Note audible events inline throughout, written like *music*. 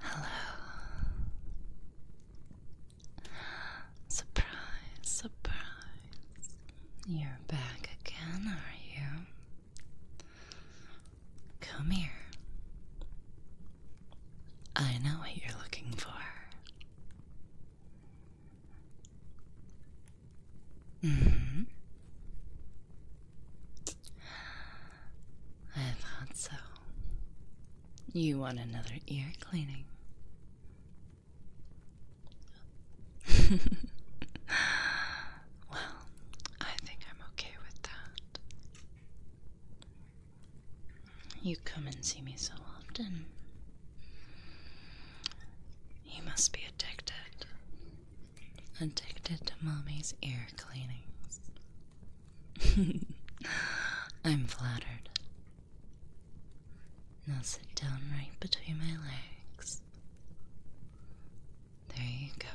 Hello. Surprise, surprise. You're back again, are you? Come here. I know what you're looking for. -hmm. I thought so. You want another ear cleaning? *laughs* well, I think I'm okay with that. You come and see me so often. You must be addicted. Addicted to mommy's ear cleanings. *laughs* I'm flattered. Now sit down right between my legs. There you go.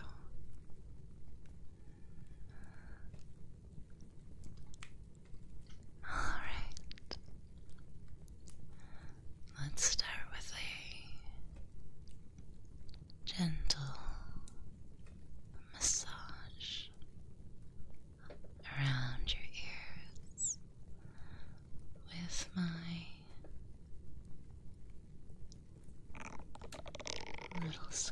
Alright. Let's start with the gentle massage around your ears with my little scrubbies.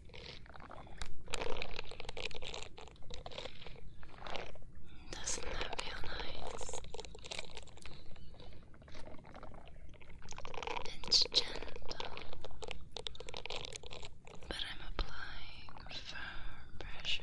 Doesn't that feel nice? It's gentle, but I'm applying firm pressure.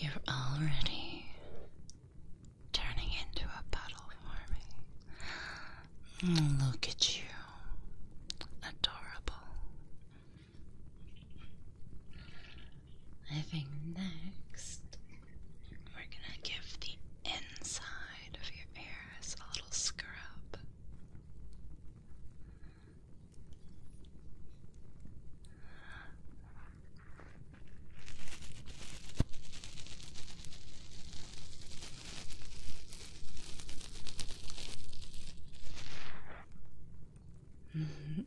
You're already turning into a puddle for me. Look at you. Adorable. I think next we're gonna give the inside of your ears a little scrub. *laughs*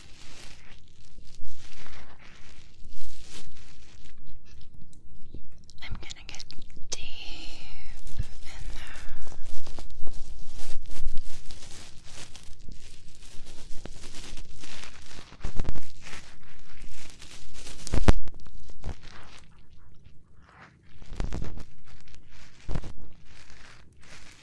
I'm gonna get deep in there.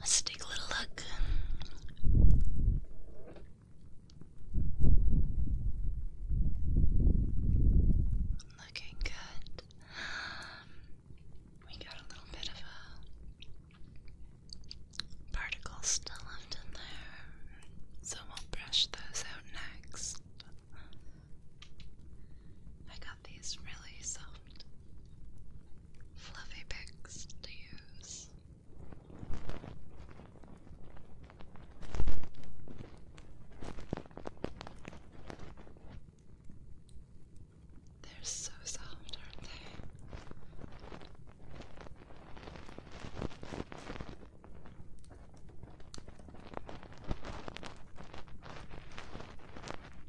Let's take a little look. Looking good. We got a little bit of a particle still left in there, so we'll brush those out next. I got these really soft, fluffy picks to use. They're so soft, aren't they?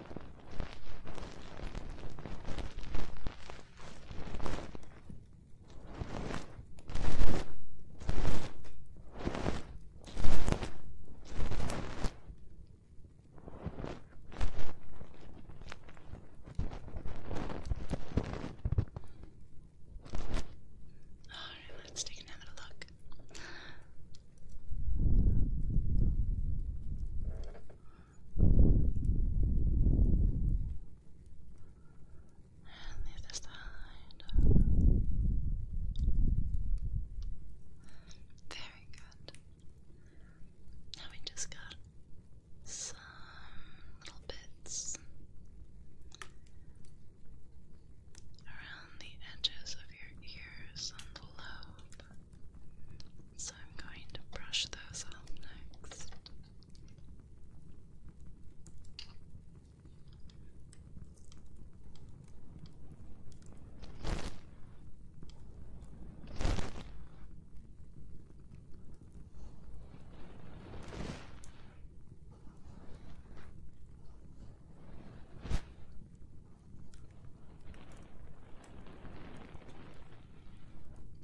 Alright, let's take another look. And the other side. Very good. Now we just got some little bits around the edges of your ears on the lobe. So I'm going to brush those up next.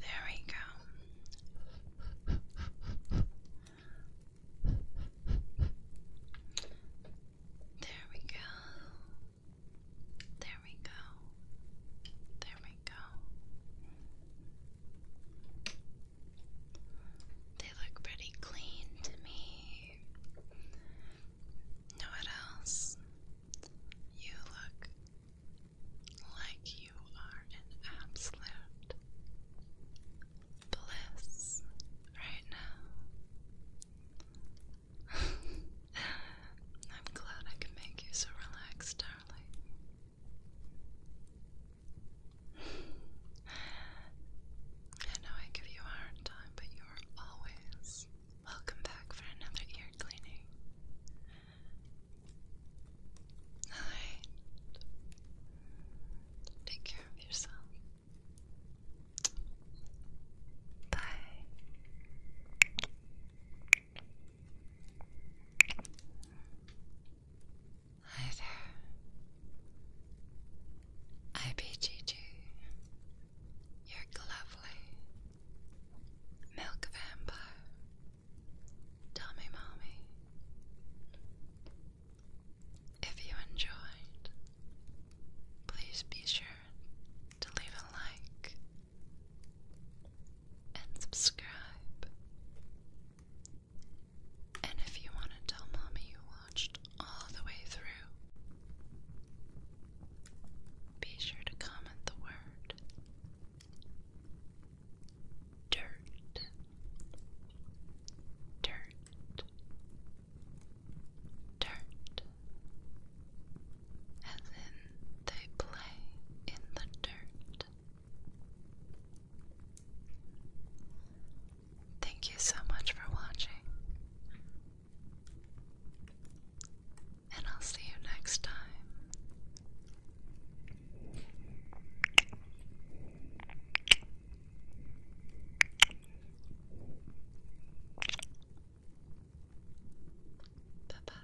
There we go. There we go. There we go. There we go. They look pretty clean to me what else? You look like you are in absolute bliss right now. *laughs* I'm glad I can make you so relaxed, darling. I know I give you a hard time, but you are always welcome back for another ear cleaning. Alright. Take care of yourself. Bye. Hi IPGG, you're lovely. Milk Vampire, Tommy Mommy. If you enjoyed, please be sure to leave a like and subscribe. And if you want to tell mommy you watched all the way through. Be sure to comment the word dirt, dirt, dirt, as in they play in the dirt. Thank you so much for watching. And I'll see you next time. Bye bye.